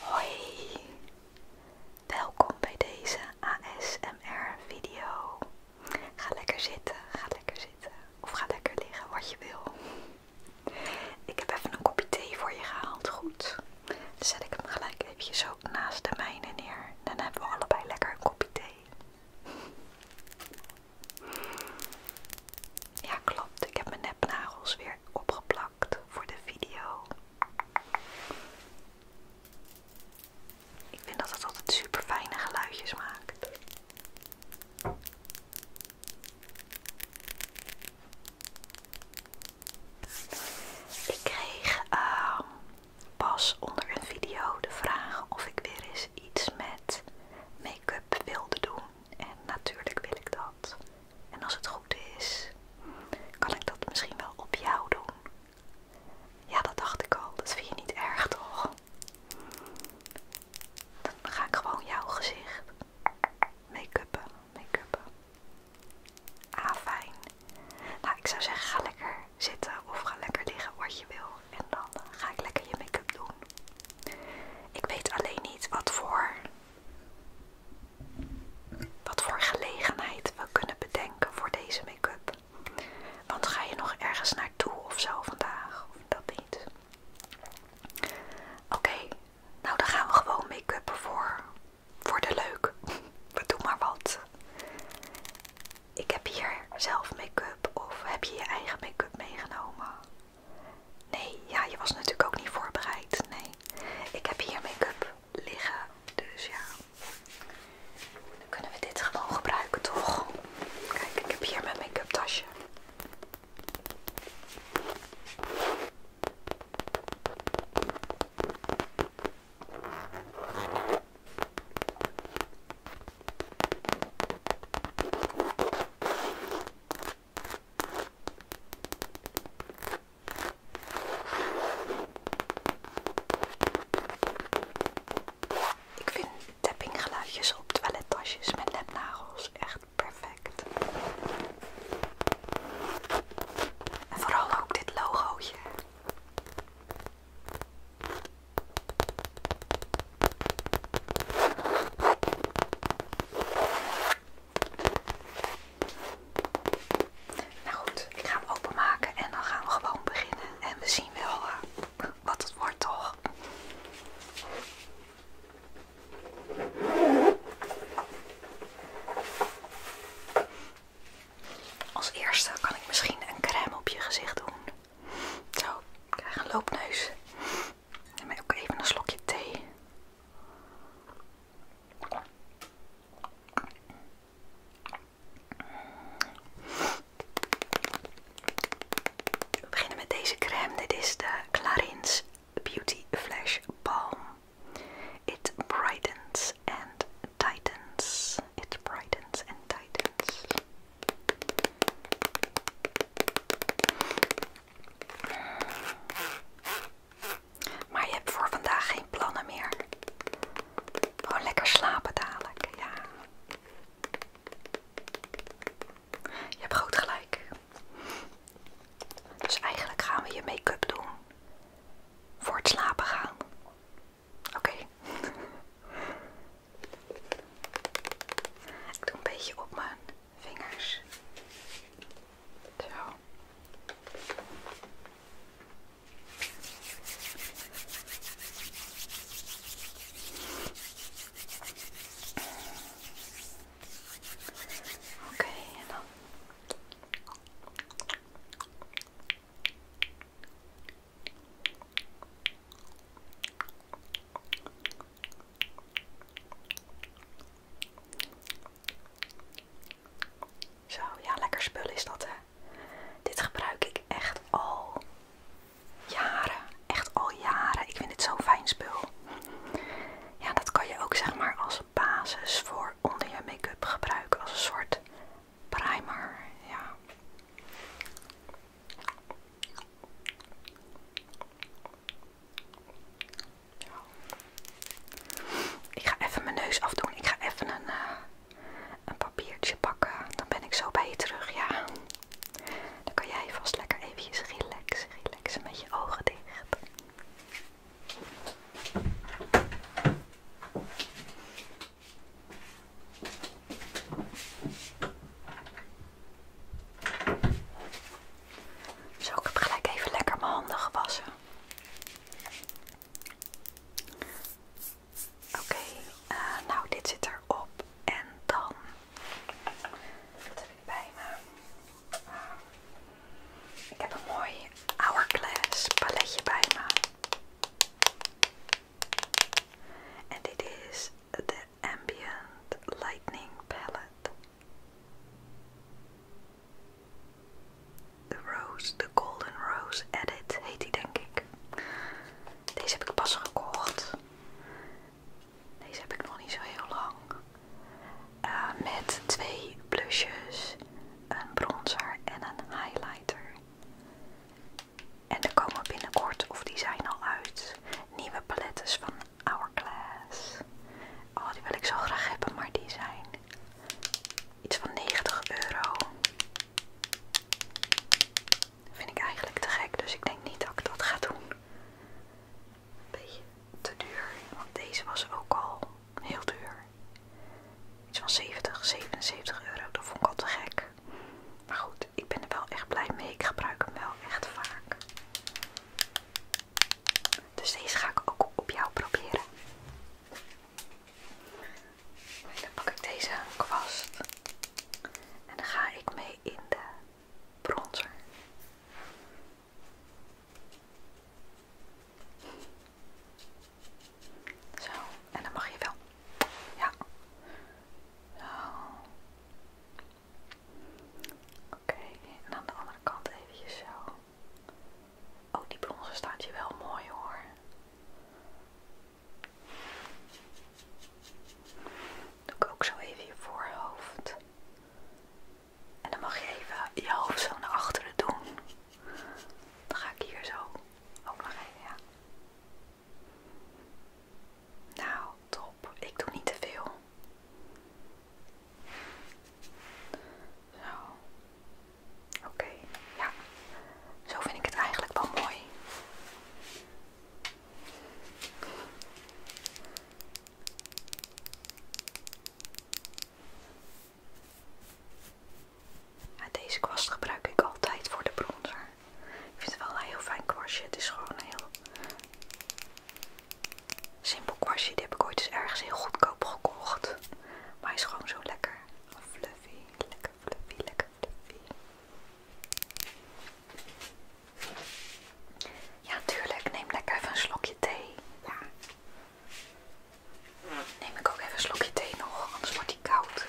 Hoi, welkom bij deze ASMR-video. Ga lekker zitten, ga lekker zitten of ga lekker liggen, wat je wil. Ik heb even een kopje thee voor je gehaald, goed. zet ik hem gelijk even zo naast de mijne neer. Dan hebben we allebei lekker een kopje thee. Ja, klopt. Ik heb mijn nepnagels weer opgeplakt voor de video. Ik vind dat het altijd super fijne geluidjes maakt. Ik kreeg ehm, pas onder een video de vraag of ik weer eens iets met make-up wilde doen. En natuurlijk wil ik dat. En als het goed is, kan ik dat misschien wel op jou doen. Ja, dat dacht ik al. Dat vind je niet erg, toch? Dan ga ik gewoon jouw gezicht make-uppen, make-uppen. Ah, fijn. Nou, ik zou zeggen, ga lekker zitten of ga lekker liggen wat je wil en dan ga ik lekker je make-up doen. Ik weet alleen niet wat voor, wat voor gelegenheid we kunnen bedenken voor deze make-up. Want ga je nog ergens naartoe of zo vandaag? Of dat niet? Oké, nou dan gaan we gewoon make up voor, voor de leuk. We doen maar wat. Ik heb hier zelf make-up of heb je je eigen make-up meegenomen? Nee, ja, je was natuurlijk ook niet voorbereid. Nee, ik heb hier make-up liggen, dus ja. Dan kunnen we dit gewoon gebruiken, toch? Kijk, ik heb hier mijn make-up tasje. Ik vind tappinggeluidjes op toilettasjes met nepnagels echt perfect. En vooral ook dit logoetje. Nou goed, ik ga hem openmaken en dan gaan we gewoon beginnen. En we zien wel eh, wat het wordt, toch? Als eerste kan ik misschien een crème op je gezicht doen. Zo, ik krijg een loopneus. Neem ook even een slokje thee. We beginnen met deze crème. Dit is de Clarins Beauty Flash Balm. It brightens and tightens. It brightens and tightens. Maar je hebt voor vandaag geen plannen meer. Gewoon lekker slapen dadelijk, ja. Je hebt groot gelijk. Dus eigenlijk gaan we je make-up doen. Voor het slapen gaan. Oké. Ik doe een beetje op mijn vingers. Zo. Oké, en dan. Zo, ja, lekker spul is dat hè. Dit gebruik ik echt al jaren. Echt al jaren. Ik vind dit zo'n fijn spul. Ja, dat kan je ook zeg maar als basis voor onder je make-up gebruiken. Als een soort primer. Ja. Ik ga even mijn neus afdoen. Ik ga even een, eh, een papiertje pakken. Dan ben ik zo bij je terug, ja. Dan kan jij vast lekker even relaxen. Relaxen met je ogen dicht. Zo, ik heb gelijk even lekker mijn handen gewassen. Oké, eh, nou dit zit erop en dan wat heb ik bij me? Ah, ik heb een mooi Hourglass paletje bij me. En dit is de Ambient Lightning Palette. De Rose, de Golden Rose Edit heet die denk ik. Deze heb ik pas gekocht. Deze heb ik nog niet zo heel lang. Eh, met twee blushes, een bronzer en een highlighter. En er komen binnenkort, of die zijn al uit, nieuwe palettes van Hourglass. Oh, die wil ik zo graag hebben, maar die zijn iets van 90 euro. vind ik eigenlijk te gek, dus ik denk niet dat ik dat ga doen. Beetje te duur, want deze was ook al heel duur. Iets van 70, 77 euro, dat vond ik al te gek. Maar goed, ik ben er wel echt blij mee. Ik gebruik hem wel echt vaak. Dus deze ga ik ook op jou proberen. En dan pak ik deze kwast. En dan ga ik mee in de bronzer. Zo, en dan mag je wel ja. Zo. Oké, en aan de andere kant even zo. Oh, die bronzen staat je wel mooi hoor. Doe ik ook zo even je voorhoofd. En dan mag je even je hoofd zo naar achteren doen. Dan ga ik hier zo ook nog even, ja. Nou, top. Ik doe niet te veel. Zo. Oké, ja. Zo vind ik het eigenlijk wel mooi. deze kwast gebruik ik altijd voor de bronzer. Ik vind het wel een heel fijn kwastje. Het is gewoon een heel simpel kwastje. Die heb ik ooit eens ergens heel goedkoop gekocht. Maar hij is gewoon zo lekker fluffy. Lekker fluffy, lekker fluffy. Ja, tuurlijk. Neem lekker even een slokje thee. Neem ik ook even een slokje thee nog, anders wordt die koud.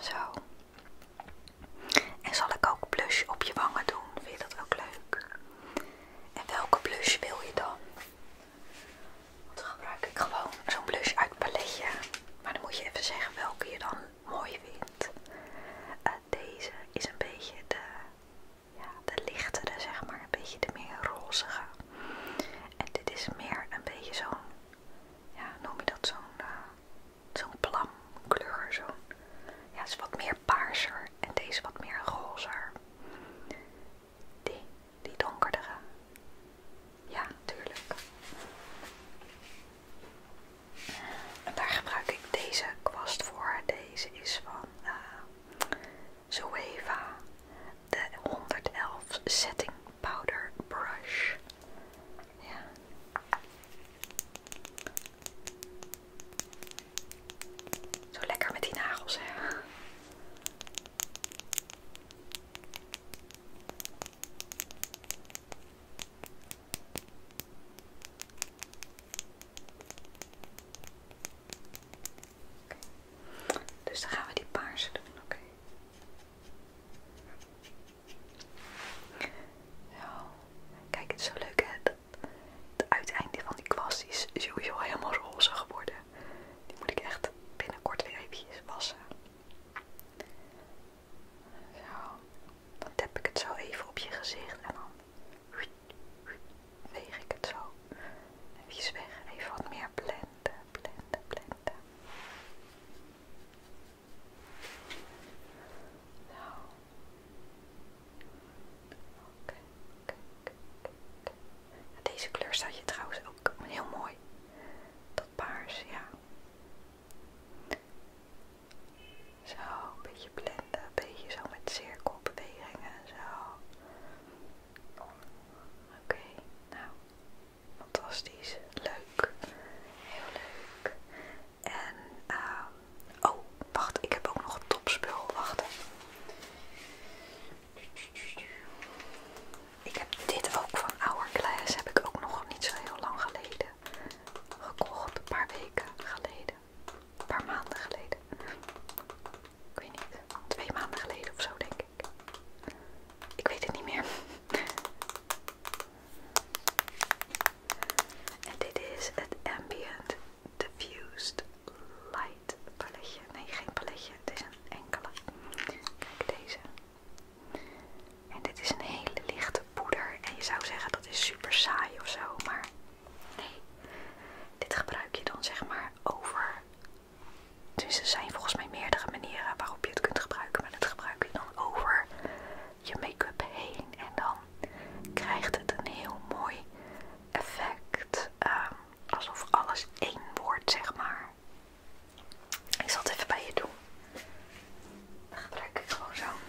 Zo. En zal ik ook blush op je wangen doen? Vind je dat ook leuk? En welke blush wil je dan? Want dan gebruik ik gewoon zo'n blush uit het paletje. Maar dan moet je even zeggen welke je dan mooi vindt. En eh, deze is een beetje de ja, de lichtere, zeg maar, een beetje de meer rozige. En dit is meer een beetje zo'n, ja, noem je dat zo'n uh, zo'n plamkleur, zo ja, is wat meer paarser en deze wat meer rozer. Die, die donkerdere. Ja, tuurlijk. En daar gebruik ik deze kwast voor. Deze is van eh, Zoeva de 111 Setting Powder Brush. Ja. Zo lekker met die nagels, hè? Dus dan gaan we die paarse doen, oké? Kijk, het is zo leuk hè. het uiteinde van die kwast is sowieso helemaal roze geworden. Die moet ik echt binnenkort weer eventjes wassen. Zo. Dan tap ik het zo even op je gezicht en dan weeg ik het zo even weg, even wat meer blenden, blenden, blenden. Zo. Kijk. Kijk. Deze kleur staat je trouwens ook heel mooi. Dat paars, ja. Zo, een beetje blenden, een beetje zo met cirkelbewegingen, zo. Oké, nou, fantastisch, leuk, heel leuk. En, ehm, oh, wacht, ik heb ook nog een topspul, wacht. Ik heb dit ook van Hourglass, heb ik ook nog niet zo heel lang geleden gekocht, een paar weken geleden, een paar maanden geleden. Ik weet niet, twee maanden geleden of zo denk ik. Ik weet het niet meer. en dit is het Ambient Diffused Light paletje. Nee, geen paletje, het is een enkele. Kijk deze. En dit is een hele lichte poeder. En je zou zeggen dat is super saai of zo, maar nee. Dit gebruik je dan zeg maar over dus er zijn volgens mij meerdere manieren waarop je het kunt gebruiken. Maar dat gebruik je dan over je make-up heen. En dan krijgt het een heel mooi effect. Ehm, alsof alles één wordt, zeg maar. Ik zal het even bij je doen. Dan gebruik ik gewoon zo'n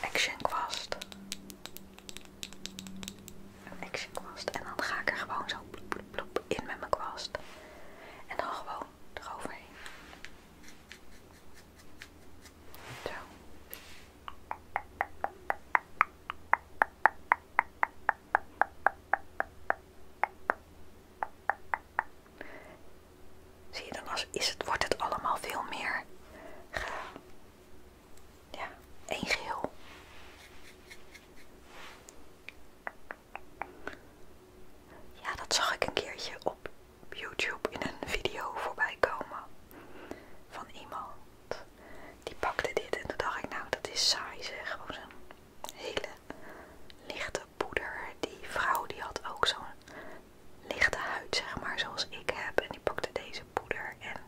action kwast een action kwast. En dan ga ik er gewoon zo in met mijn kwast. En dan gewoon eroverheen. Zo. Zie je, dan als, is het, wordt het allemaal veel meer ja, één geel Ja, dat zag ik een keertje op YouTube in een video voorbij komen van iemand. Die pakte dit en toen dacht ik, nou dat is saai zeg. Gewoon zo'n hele lichte poeder. Die vrouw die had ook zo'n lichte huid zeg maar, zoals ik heb. En die pakte deze poeder. En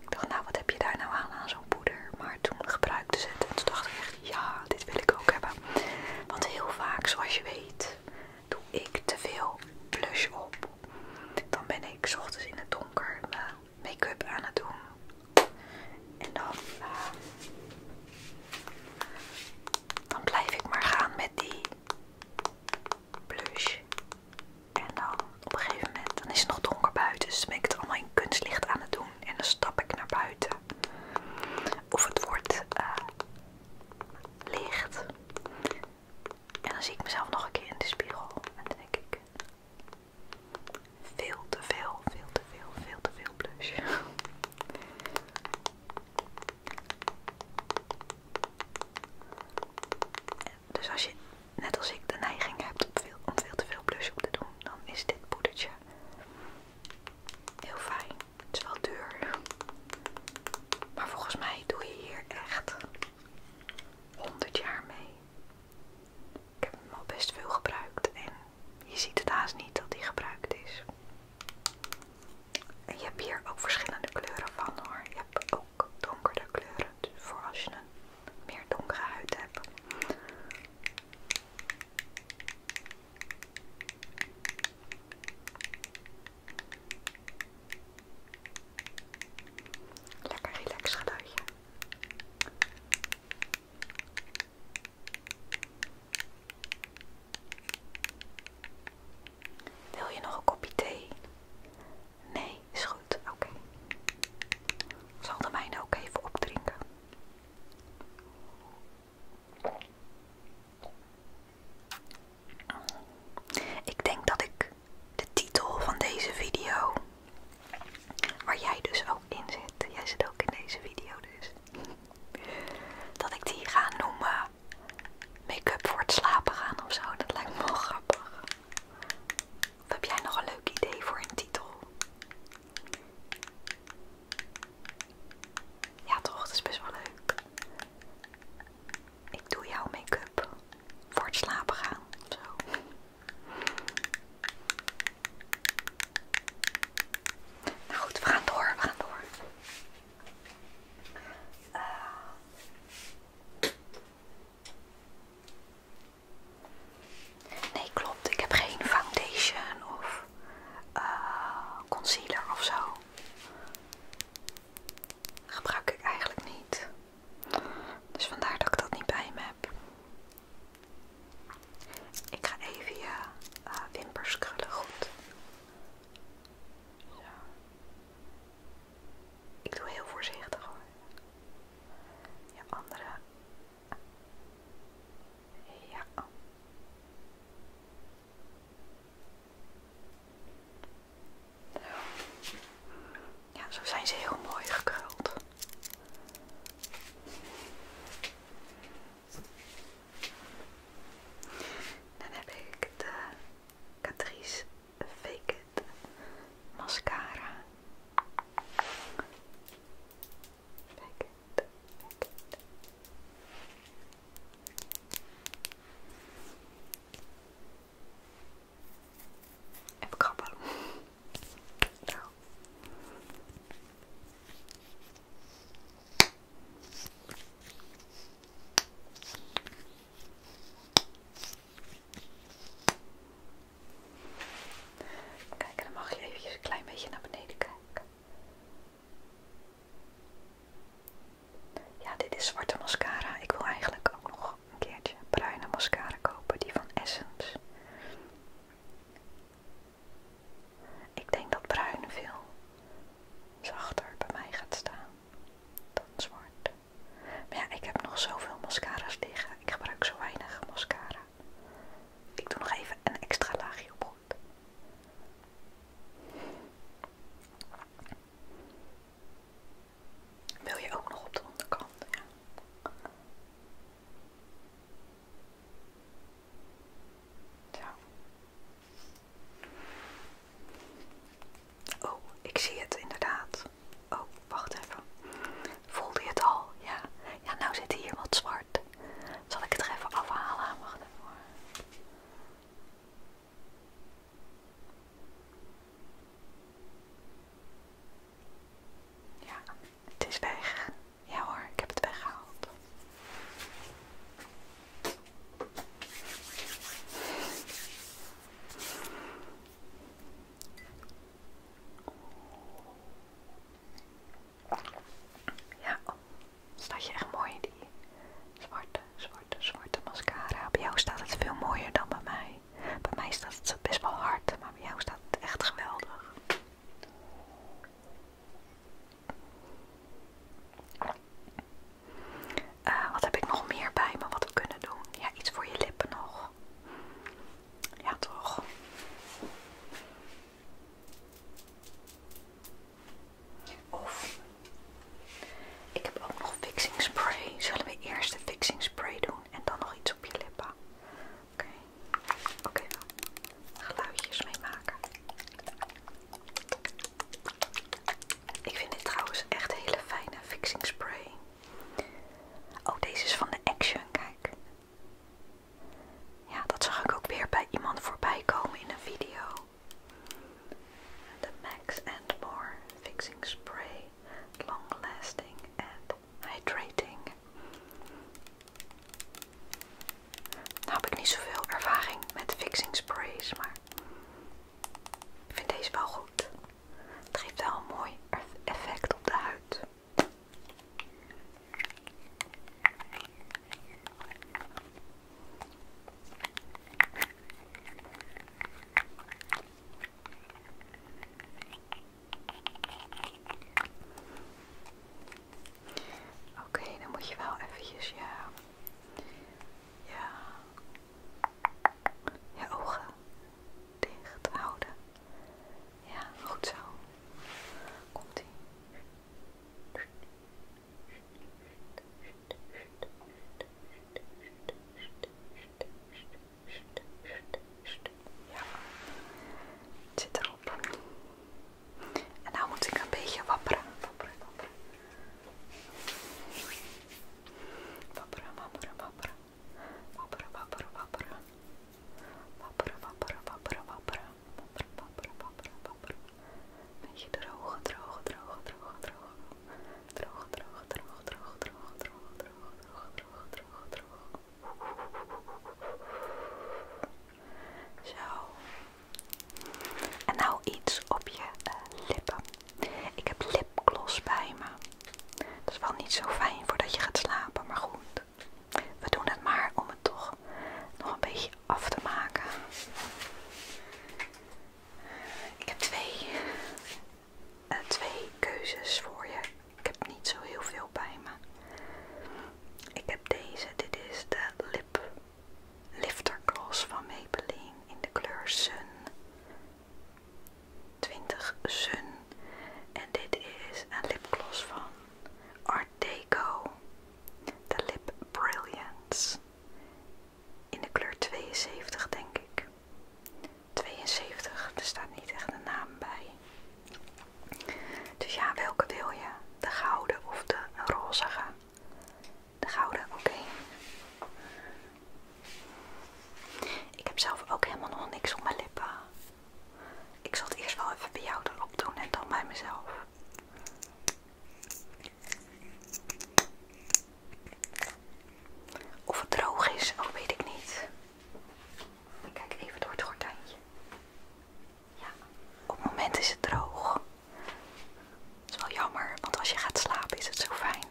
ik dacht, nou wat heb je daar nou aan, aan zo'n poeder? Maar toen gebruikte ze het en toen dacht ik echt, ja, dit wil ik ook hebben. Want heel vaak, zoals je weet, doe ik te veel blush op. Dan ben ik s ochtends in het donker mijn make-up aan het doen. En dan eh, blijf ik maar gaan met die blush. En dan op een gegeven moment, dan is het nog donker buiten, dus dan ben ik het allemaal in kunstlicht aan het doen. En dan stap ik naar buiten. Of het wordt eh, licht. En dan zie ik mezelf nog een keer in de spiegel. En dan denk ik, veel te veel, veel te veel, veel te veel blush. Dus als je, net als ik, de neiging hebt om veel, te veel blush op te doen, dan is dit poedertje heel fijn. Het is wel duur. Maar volgens mij doe je hier echt 100 jaar mee. Ik heb hem al best veel gebruikt en je ziet het haast niet dat hij gebruikt is. En je hebt hier ook verschillende kleuren van hoor. Je hebt ook Donkere kleuren dus voor als je een meer donkere huid hebt. Lekker relax Wil je nog een kopje thee? Nee, is goed. Oké. zal de mijne ook even opdrinken. Ik denk dat ik de titel van deze video, waar jij dus ook in zit, jij zit ook in deze video dus, dat ik die ga noemen make-up voor het slapen gaan of zo. Dat lijkt me wel grappig. Of heb jij nog een leuk idee voor een titel? Ja toch, dat is best wel leuk. Ik doe jouw make-up voor het slapen gaan of Nou goed, we gaan door, we gaan door. Eh. Nee, klopt. Ik heb geen foundation of eh, concealer of zo. Gebruik ik eigenlijk niet. Dus vandaar dat ik dat niet bij me heb. Ik ga even je eh, wimpers krullen goed. Zo. Ik doe heel voorzichtig hoor je andere. Ja. Zo. Ja, zo zijn ze heel mooi gekruld. Dan heb ik de Catrice Fake It mascara. Fake it, fake it. Kijk, dan mag je eventjes een klein beetje naar beneden kijken. Ja, dit is zwarte mascara. Ik wil eigenlijk ook nog een keertje bruine mascara kopen, die van Essence. Ik denk dat bruin veel zachter bij mij gaat staan dan zwart. Maar ja, ik heb nog zoveel mascara's liggen. Ik gebruik zo weinig mascara. Ik doe nog even een extra laagje op goed. Wil je ook nog op de onderkant? Ja. Oh, ik zie het inderdaad. Oh, wacht even. Voelde je het al? Ja. Ja, nou zit hier wat zwart. Zal ik het er even afhalen? Wacht even Ja, het is weg. Ja hoor, ik heb het weggehaald. Ja, staat je echt mooi in die zwarte, zwarte, zwarte mascara. Bij jou staat het veel mooier dan bij mij. Bij mij staat het best wel hard, maar bij jou staat het echt geweldig. Eh, wat heb ik nog meer bij me wat we kunnen doen? Ja, iets voor je lippen nog. Ja, toch? Of ik heb ook nog fixing spray. Zullen we eerst de fixing spray doen en dan nog iets op je lippen? Oké, oké, dan. geluidjes mee maken. Ik vind dit trouwens echt hele fijne fixing spray. Oh, deze is van de Action, kijk. Ja, dat zag ik ook weer bij iemand voorbij komen in een video. De Max and More Fixing Spray. Long lasting and hydrating. Nou heb ik niet zoveel ervaring met fixing sprays, maar ik vind deze wel goed. Het geeft wel een mooi effect op de huid. Oké, dan moet je wel eventjes ja, ja, je ogen dicht houden. Ja, goed zo. Komt ie. Ja, het zit erop. En nou moet ik een beetje wapperen. Wapperen, wapperen. Wapperen, wapperen, wapperen wapperen, wapperen, wapperen. Wapperen, wapperen, wapperen, wapperen. Wapperen, wapperen, wapperen, papara. Beetje droge, droge, droge, droge, droge. Droge, droge, droog, droge, droge, droge, droge, droge, droge, droog, droog. Zo. En nou iets op je lippen. Ik heb lipgloss bij me. Dat is wel niet zo fijn voordat je gaat slapen, maar goed. We doen het maar om het toch nog een beetje af te maken. Ik heb twee, eh, keuzes voor je. Ik heb niet zo heel veel bij me. Ik heb deze. Dit is de Lip Lifter Gloss van Maybelline in de kleur Sun. 20 Sun. En dit is een lipgloss van Art Deco. De Lip Brilliance. In de kleur 72 denk ik. 72, er staat niet echt een naam bij. Dus ja, welke wil je? De gouden of de rozige? De gouden, oké. Ik heb zelf ook helemaal nog niks op mijn lippen. Ik zal het eerst wel even bij jou erop doen en dan bij mezelf. Of het droog is, ook oh, weet ik niet. Ik kijk even door het gordijntje. Ja, op het moment is het droog. Dat is wel jammer, want als je gaat slapen is het zo fijn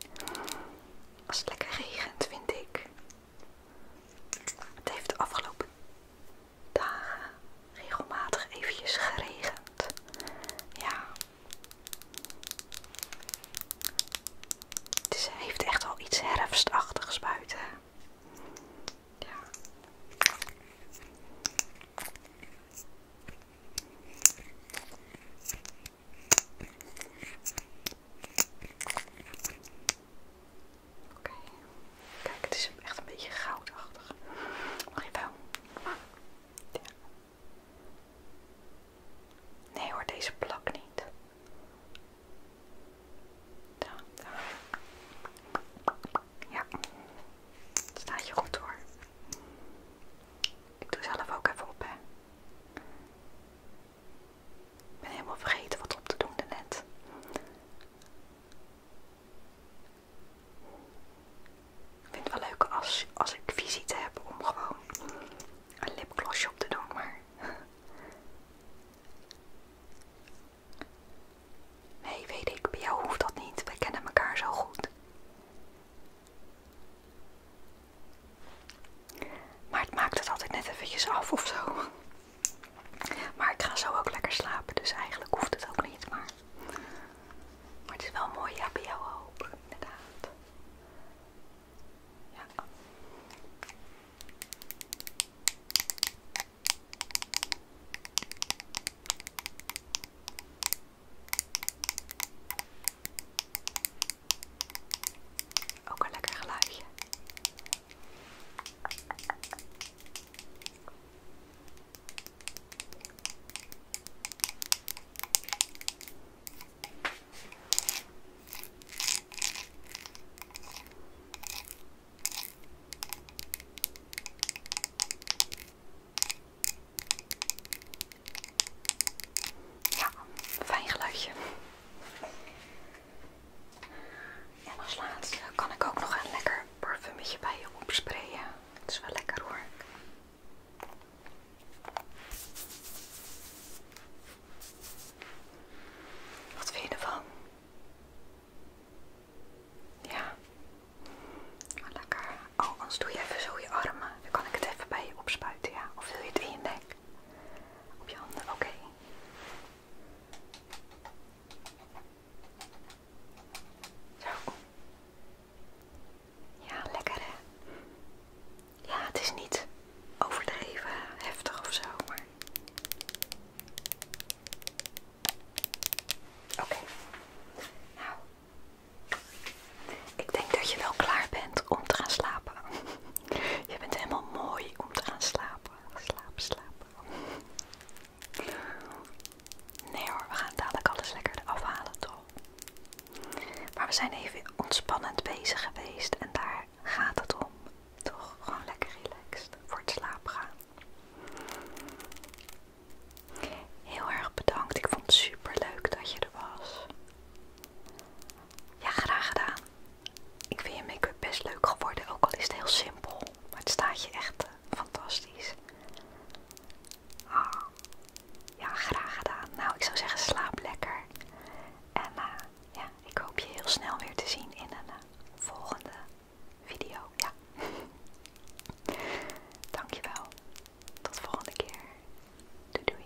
als het lekker regent, vind ik. Het heeft de afgelopen dagen regelmatig eventjes geregend. Ja. Het heeft echt al iets herfstachtigs buiten. Ja. Kijk, het is echt een beetje goudachtig. Mag je wel? Nee hoor, deze plak niet. Daar, Ja. Het staat je goed hoor. Ik doe zelf ook even op, hè. Ik ben helemaal vergeten wat op te doen daarnet. Ik vind het wel leuk als, als ik visite heb om gewoon een lipglossje op te doen, maar... Nee, weet ik, bij jou hoeft dat niet. We kennen elkaar zo goed. Maar het maakt het altijd net eventjes af of zo. Maar ik ga zo ook lekker slapen, dus eigenlijk hoeft het ook niet. Maar, het is wel mooi, ja, bij jou ook, inderdaad. Ja. Ook een lekker geluidje. Ja, fijn geluidje. En als laatste kan ik ook nog een lekker parfumetje bij je opsprayen. Het is wel lekker hoor. Wat vind je ervan? Ja. Lekker. Oh, anders doe je even zo je armen. Dan kan ik het even bij je opspuiten, ja. Of wil je het in je nek? Op je handen, oké. Okay. Zo. Ja, lekker Ja, het is niet overdreven heftig of zo, maar. Oké. Nou. Ik denk dat je wel klaar bent om te gaan slapen. Je bent helemaal mooi om te gaan slapen. Slaap, slaap. Nee hoor, we gaan dadelijk alles lekker afhalen toch. Maar we zijn even ontspannend bezig geweest en daar gaat het om. Toch gewoon lekker relaxed voor het slapen gaan. Heel erg bedankt. Ik vond het super leuk dat je er was. Ja, graag gedaan. Ik vind je make-up best leuk geworden, ook al is het heel simpel. Maar het staat je echt eh, fantastisch. Ah, ja, graag gedaan. Nou, ik zou zeggen slaap lekker. En eh, ja, ik hoop je heel snel weer te zien in een eh, volgende video. Ja. Dankjewel. Tot volgende keer. Doei doei.